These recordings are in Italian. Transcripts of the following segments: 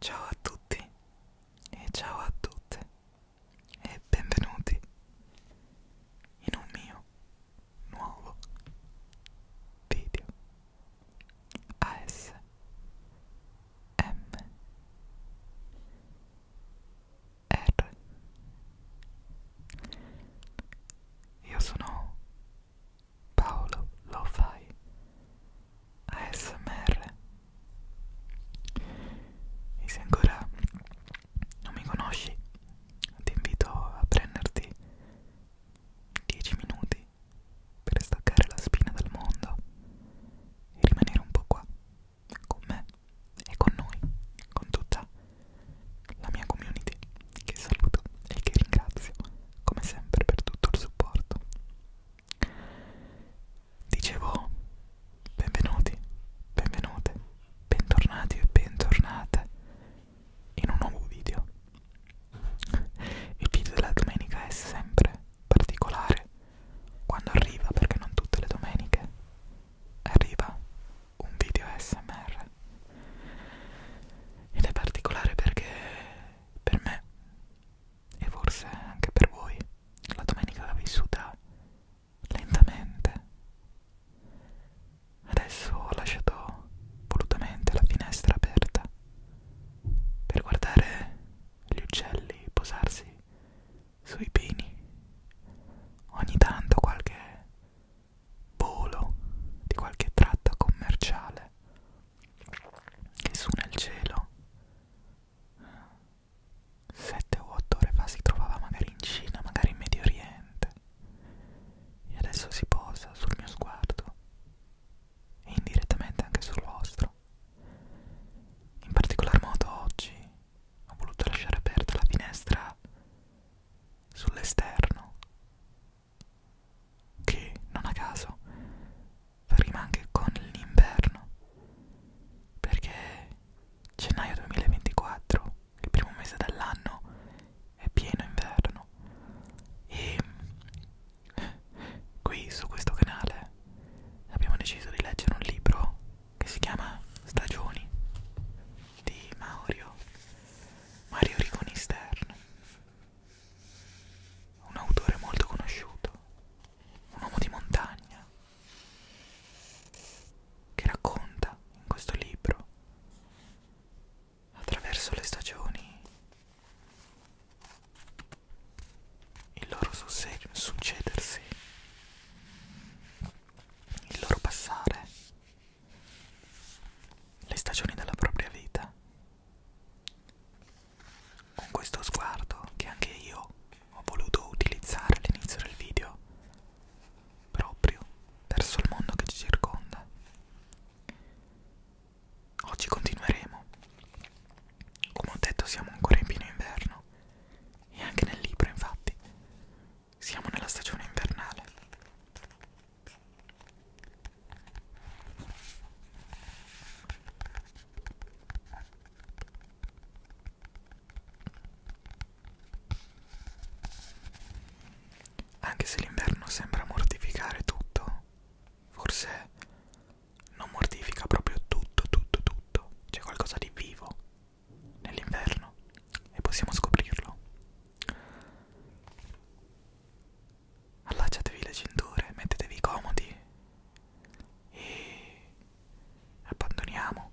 Ciao a tutti e ciao a tutte e benvenuti in un mio nuovo video ASMR M R Io sono Paolo Lo fai ASMR e se ancora non mi conosci ti invito a prenderti 10 minuti per staccare la spina dal mondo e rimanere un po' qua con me e con noi, con tutta la mia community che saluto e che ringrazio come sempre per tutto il supporto. Dicevo, benvenuti, benvenute, bentornati e bentornate in un nuovo video. Il video della domenica è sempre particolare quando arriva, perché non tutte le domeniche arriva un video ASMR ed è particolare perché per me e forse anche per voi la domenica l'ha vissuta lentamente adesso ho lasciato volutamente la finestra aperta per guardare gli uccelli posarsi sui pini ogni tanto qualche volo di qualche tratta commerciale che su nel cielo eh, sette o otto ore fa si trovava magari in Cina, magari in Medio Oriente e adesso si posa sul mio sguardo e indirettamente anche sul vostro in particolar modo oggi ho voluto lasciare aperta la finestra sull'esterno, che non a caso rima anche con l'inverno, perché gennaio 2024, il primo mese dell'anno, è pieno inverno e qui su questo canale abbiamo deciso di leggere un libro che si chiama Stagioni di Mario, Mario Rigoni Stern, un autore molto conosciuto, un uomo di montagna, che racconta in questo libro attraverso le stagioni il loro succedersi, il loro passare, le stagioni della propria vita. Con questo sguardo che anche io ho voluto utilizzare all'inizio del video, proprio verso il mondo che ci circonda. Oggi continueremo come ho detto siamo ancora in pieno inverno e anche nel libro infatti siamo nella stagione invernale. Anche se l'inverno sembra mortificare tutto, forse non mortifica proprio tutto, tutto, tutto. C'è qualcosa di vivo nell'inverno e possiamo scoprirlo. Allacciatevi le cinture, mettetevi comodi e abbandoniamo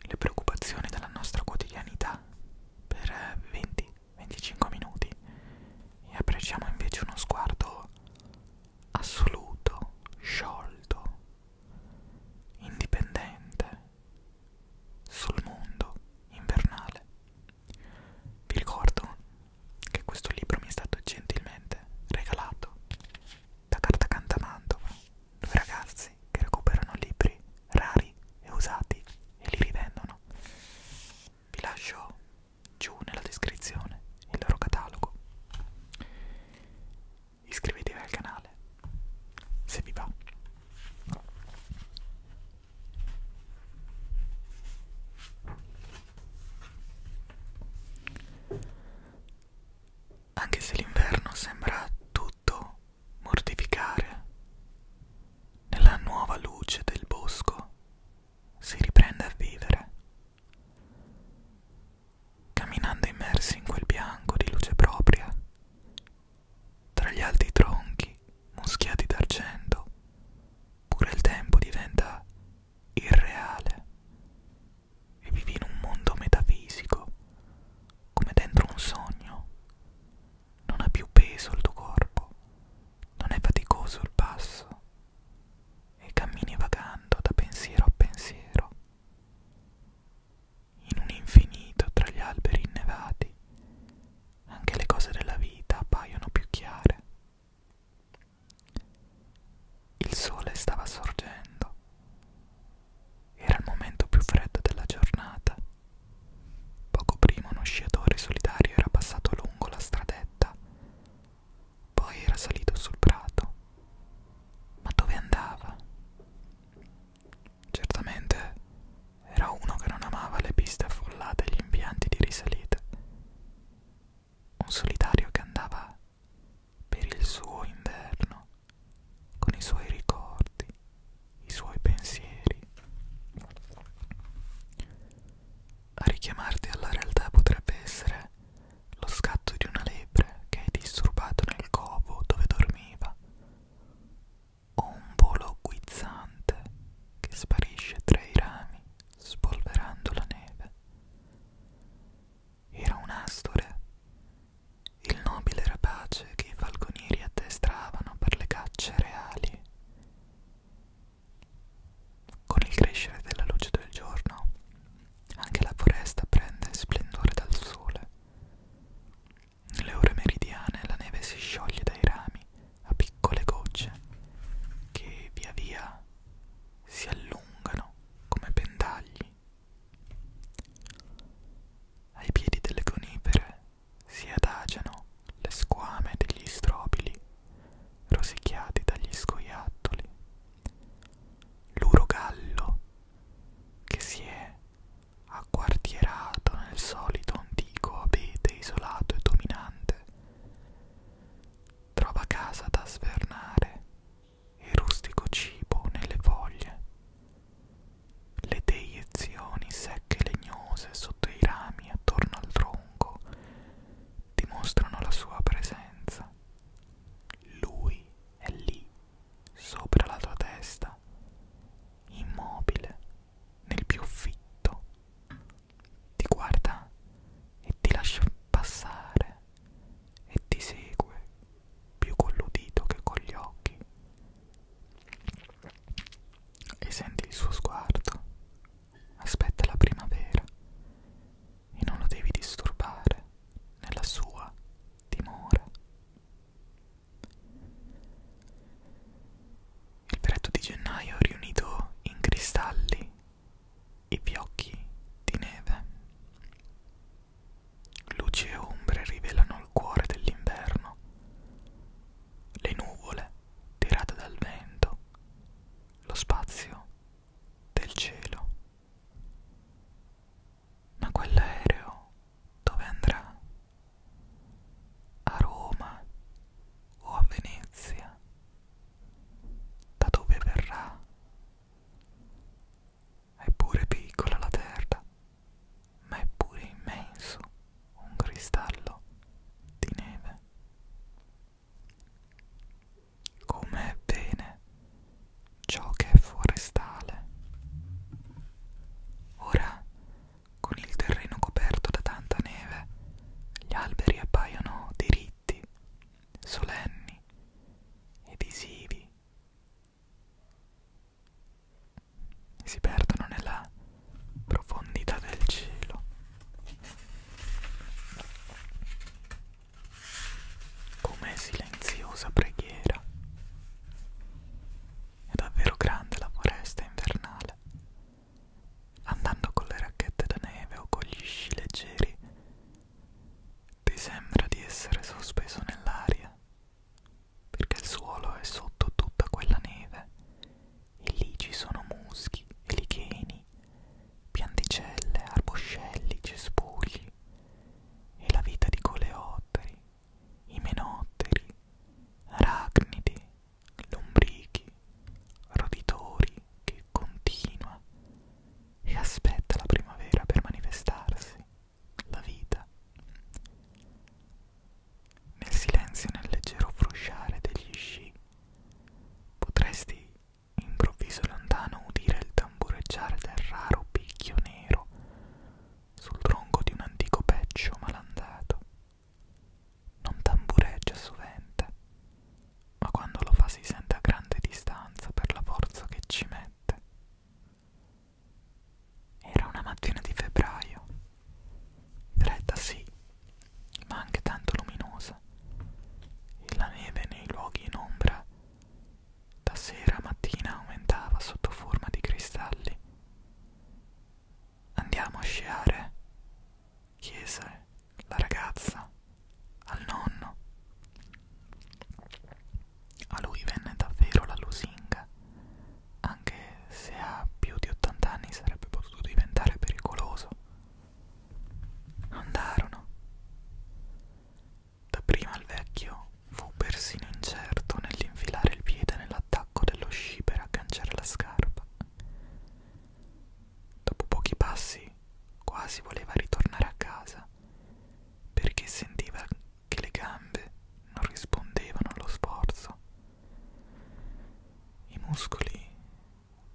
le preoccupazioni della nostra quotidianità per 20-25 minuti e apprezziamo invece uno sguardo assoluto, sciolto, indipendente sul mondo invernale. Vi ricordo che questo libro mi è stato gentilmente regalato da Carta Cantamantova, due ragazzi che recuperano libri rari e usati e li rivendono. Vi lascio giù nella descrizione il loro catalogo. Iscrivetevi al canale se vi va. Anche se l'inverno sembra tutto mortificare, nella nuova luce del bosco si riprende a vivere camminando immersi in quel bianco di luce propria, tra gli alti tronchi muschiati d'argento, pure il tempo diventa irreale e vivi in un mondo metafisico, come dentro un sogno. Non ha più peso il tuo corpo, non è faticoso il passo e cammini vagando da pensiero a pensiero, in un infinito tra gli alberi innevati, anche le cose della vita appaiono più chiare. Il sole stava sorgendo, era il momento più freddo della giornata. Poco prima uno sciatore solitario era passato lungo la stradetta poi era salito sul prato. Ma dove andava? Certamente era uno che non amava le piste affollate e gli impianti di risalita. Un solitario che andava per il suo inverno, con i suoi ricordi, i suoi pensieri. A richiamarti alla realtà potrebbe essere lo scatto di una lepre che è disturbato nel covo dove dormiva, o un volo guizzante che sparisce tra i rami spolverando la neve. Era un'astore, il nobile rapace che i falconieri addestravano per le cacce reali. Con il crescere della luce del giorno, anche la foresta prende splendore dal sole. Nelle ore meridiane la neve si scioglie dai rami a piccole gocce che via via si allungano come pendagli. Ai piedi delle conifere si adagiano le squame degli strobili rosicchiati dagli scoiattoli l'urogallo che si è acquartierato nel solito antico abete isolato e dominante trova casa da svernare e rustico cibo nelle foglie le deiezioni secche e legnose sotto i rami attorno al tronco dimostrano la sua presenza lui è lì, sopra la tua testa, immobile, nel più fitto. Ti guarda e ti lascia passare e ti segue più con l'udito che con gli occhi. E senti il suo sguardo. Aspetta la primavera e non lo devi disturbare nella sua dimora. Il pretto di gennaio ha riunito in cristalli i fiocchi di neve. Luci e ombre rivelano il cuore dell'inverno, le nuvole tirate dal vento, lo spazio del cielo. Ma quell'aereo dove andrà? A Roma o a Venezia? Da dove verrà? È pure piccola la Terra, ma è pure immenso un cristallo di neve come è bene ciò che è forestale. Ora, con il terreno coperto da tanta neve, gli alberi appaiono diritti, solenni ed isivi. Si perdono nella profondità del cielo. Come silenziosa preghiera. È davvero grande la foresta invernale. Andando con le racchette da neve o con gli sci leggeri, ti sembra di essere sospeso nell'aria, perché il suolo è sotto tutta quella neve e lì ci sono muschi, elicheni, pianticelle, arboscelli, cespugli e la vita di coleotteri, imenotteri, arachnidi, lombrichi, roditori che continua e aspetta la primavera per manifestarsi, la vita. Nel silenzio e nel leggero frusciare degli sci potresti Improvviso e lontano udire il tambureggiare del raro picchio nero sul tronco di un antico peccio malandato. Non tambureggia sovente, ma quando lo fa si sente a grande distanza per la forza che ci mette. Era una mattina di febbraio, fredda sì, ma anche tanto luminosa e la neve nei luoghi in ombra da sera a mattina aumentava sotto forma di cristalli. Andiamo a sciare, chiese la ragazza al nonno. A lui venne davvero la lusinga, anche se a più di 80 anni sarebbe potuto diventare pericoloso. Andarono. Dapprima il vecchio fu persino incerto nell'infilare il piede nell'attacco dello sci per agganciare la scarpa. Dopo pochi passi quasi voleva ritornare a casa perché sentiva che le gambe non rispondevano allo sforzo. I muscoli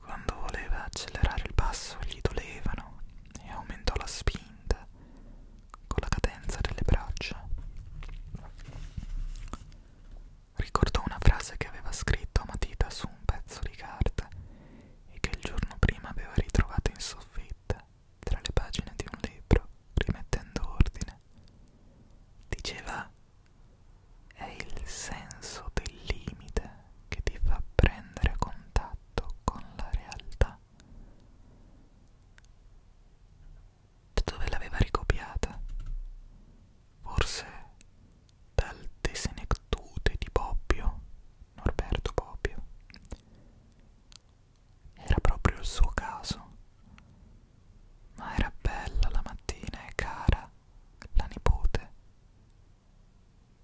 quando voleva accelerare il passo gli dolevano e aumentò la spinta con la cadenza delle braccia. Ricordò una frase che aveva scritto a matita su un pezzo di carta e che il giorno prima aveva ritrovato in soffitta tra le pagine di un libro, rimettendo ordine. Diceva è il senso del limite che ti fa prendere contatto con la realtà da dove l'aveva ricopiata forse dal Tesenectute di Bobbio Norberto Bobbio era proprio il suo caso ma era bella la mattina e cara la nipote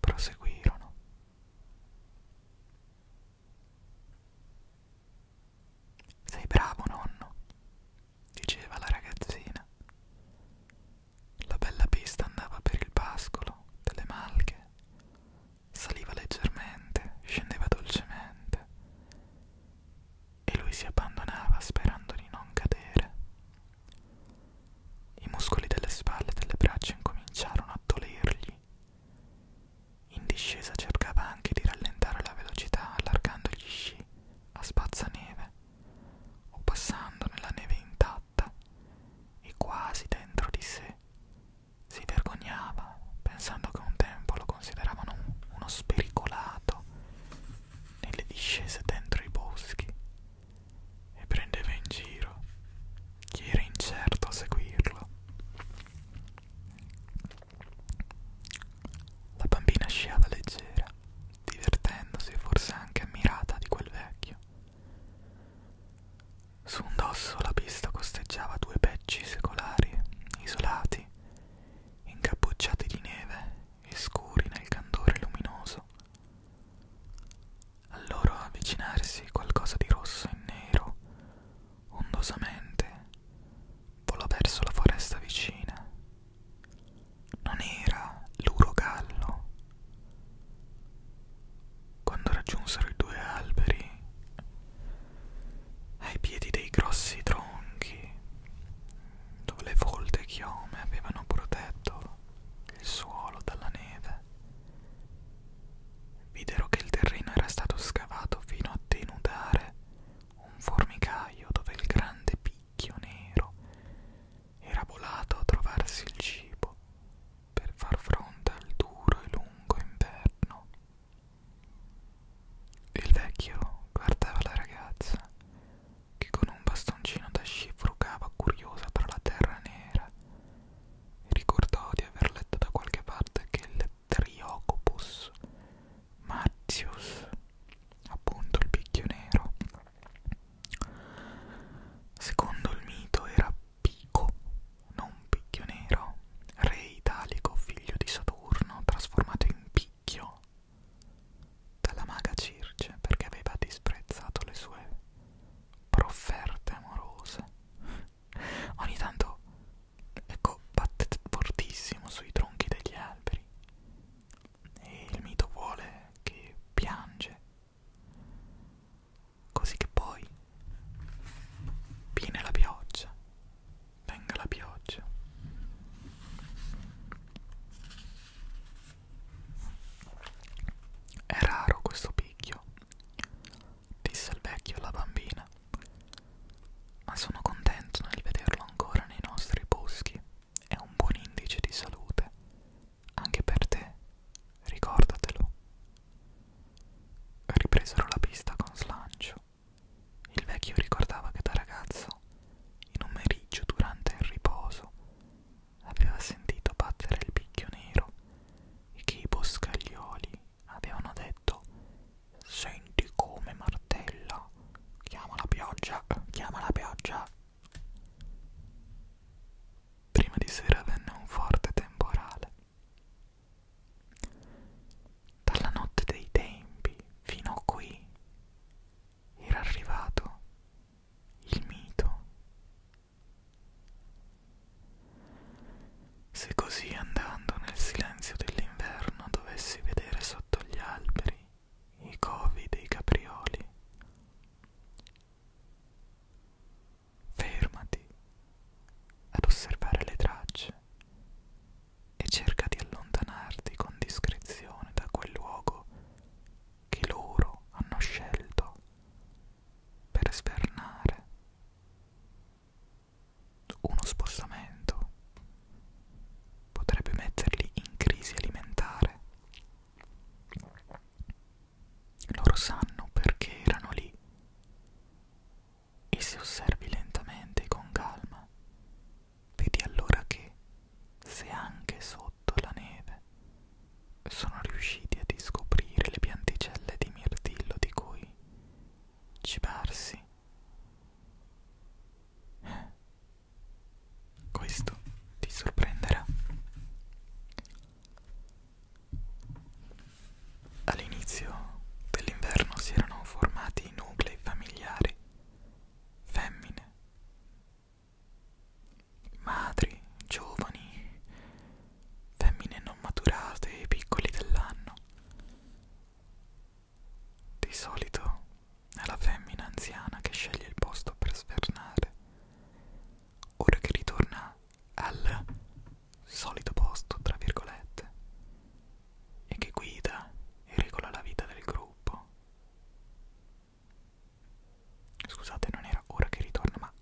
proseguirono. Sei bravo, nonno, diceva la ragazzina. La bella pista andava per il pascolo delle malche, saliva leggermente, scendeva dolcemente e lui si abbandonava sperando di non cadere i muscoli delle spalle e delle braccia incominciarono a dolergli. In discesa cercava anche di rallentare la velocità allargando gli sci a spazzaneve o passando nella neve intatta e quasi dentro di sé si vergognava pensando che un tempo lo consideravano uno spericolato nelle discese dentro i boschi e prendeva in giro chi era incerto a seguirlo. La bambina sciava leggera, divertendosi e forse anche ammirata di quel vecchio. Su un dosso la pista costeggiava due pecci secolari, isolati, incappucciati di neve e scuri nel candore luminoso al loro avvicinarsi qualcosa di rosso e nero, ondosamente, volò verso la foresta vicina. Non era l'urogallo. Quando raggiunsero i due alberi, ai piedi dei grossi tronchi, dove le volte chiome avevano protetto il suolo dalla neve. Videro che il terreno era stato scavato fino a denudare un formicaio dove il grande picchio nero era volato a trovarsi il cibo per far fronte al duro e lungo inverno. Il vecchio guardava la ragazza che con un bastoncino da sci frugava curiosa tra la terra nera perché ricordavo di aver letto da qualche parte che il Triocopus Martius, appunto il picchio nero, secondo il mito era Pico, non picchio nero, re italico figlio di Saturno, trasformato in picchio dalla maga Circe perché aveva disprezzato le sue profferte amorose. Ogni tanto, ecco, battete fortissimo sui tronchi degli alberi. E il mito vuole che piange. Così che poi viene la pioggia. Venga la pioggia. È raro questo picchio, disse il vecchio alla bambina, ma sono contento nel vederlo ancora nei nostri boschi. È un buon indice di salute, anche per te, ricordatelo. Ripresero la pista con slancio. Il vecchio ricordava che da ragazzo, in un meriggio durante il riposo, aveva sentito battere il picchio nero e che i boscaglioli avevano detto Senti come martella, chiama la pioggia, chiama la pioggia. Prima di sera venne un forte temporale. Dalla notte dei tempi fino a qui era arrivato il mito se così andando nel silenzio dell'inverno dovessi vedere sotto gli alberi i covi dei caprioli, fermati ad osservare le tracce e cerca di allontanarti con discrezione da quel luogo che loro hanno scelto per svernare uno spostamento potrebbe metterli in crisi alimentare loro sanno perché erano lì e se osservi lentamente e con calma vedi allora che se anche sotto la neve sono riusciti a discoprire le pianticelle di mirtillo di cui cibarsi. Questo ti sorprenderà. All'inizio dell'inverno si erano formati nuclei familiari, femmine Madri, giovani, femmine non maturate e piccoli dell'anno. Di solito è la femmina anziana che sceglie il posto per svernare. Ora che ritorna al solito posto, tra virgolette, e che guida e regola la vita del gruppo. Scusate, non era ora che ritorna, ma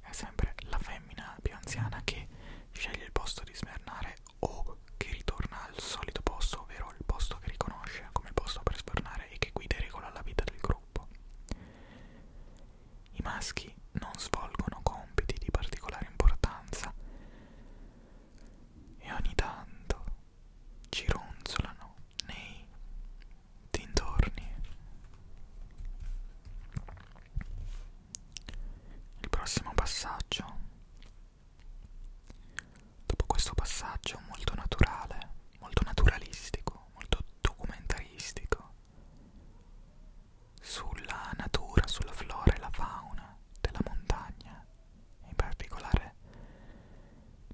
è sempre la femmina più anziana che sceglie il posto di svernare o che ritorna al solito posto, ovvero il posto che riconosce come posto per svernare e che guida e regola la vita del gruppo. I maschi non svolgono compiti di particolare importanza e ogni tanto ci ronzolano nei dintorni. Il prossimo passaggio. Dopo questo passaggio molto naturale, molto naturalistico, molto documentaristico sulla natura, sulla flora e la fauna della montagna, in particolare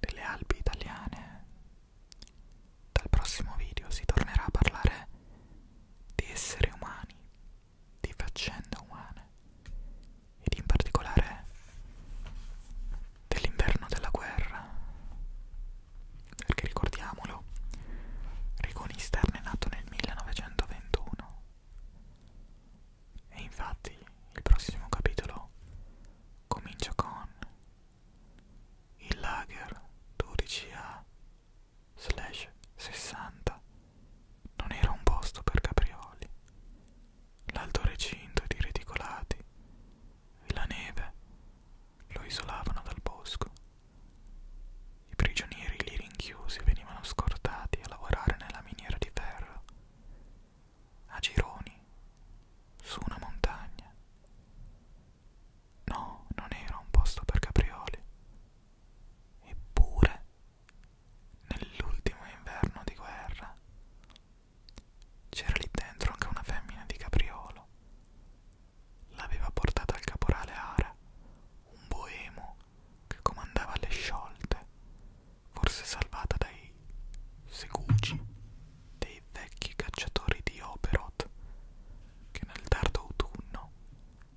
delle Alpi italiane dal prossimo video si tornerà a parlare di esseri umani, di faccende umane ed in particolare dell'inverno della guerra. Perché ricordiamolo, Rigoni Stern è nato nel 1921 e infatti il prossimo capitolo comincia con il lager 12A 60 non era un posto per caprioli. L'alto recinto ed i reticolati e la neve lo isolavano dal bosco. I prigionieri lì rinchiusi venivano scortati a lavorare nella miniera di ferro. A gironi su una montagna. No, non era un posto per caprioli. Eppure, nell'ultimo inverno di guerra, c'era lì dentro anche una femmina di capriolo. L'aveva portata al caporale Ara, un boemo che comandava le sciolte, forse salvata dai dei segugi, dei vecchi cacciatori di Operot, che nel tardo autunno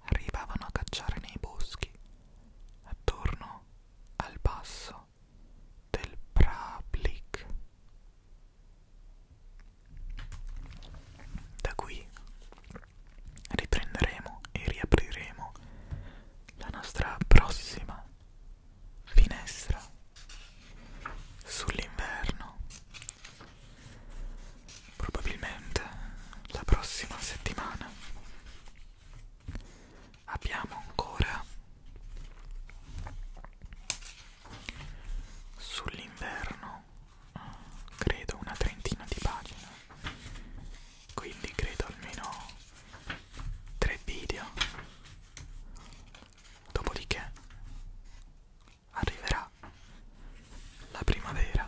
arrivavano a cacciare nei boschi, attorno al passo del Prablik. Da qui riprenderemo e riapriremo la nostra prossima finestra sull'inverno. Probabilmente la prossima settimana abbiamo ancora sull'inverno credo una trentina di pagine quindi credo almeno tre video Dopodiché arriverà la primavera.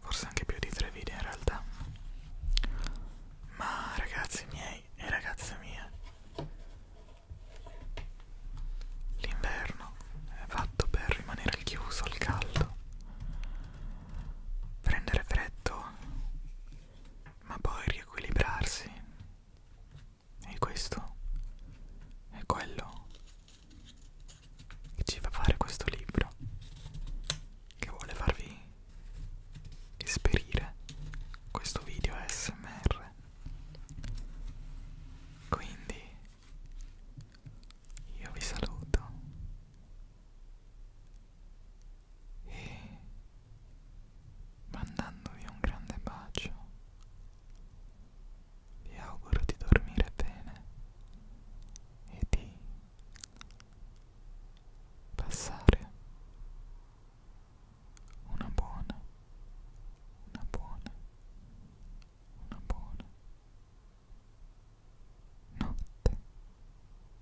Forse anche più di tre video in realtà. Ma ragazzi miei e ragazze mie, l'inverno è fatto per rimanere al chiuso al caldo, prendere freddo, ma poi riequilibrarsi è questo, è quello che ci fa fare questo libro, che vuole farvi esperire questo video ASMR. Quindi io vi saluto e mandandovi un grande bacio vi auguro di dormire bene e di passare una buona, una buona, una buona notte.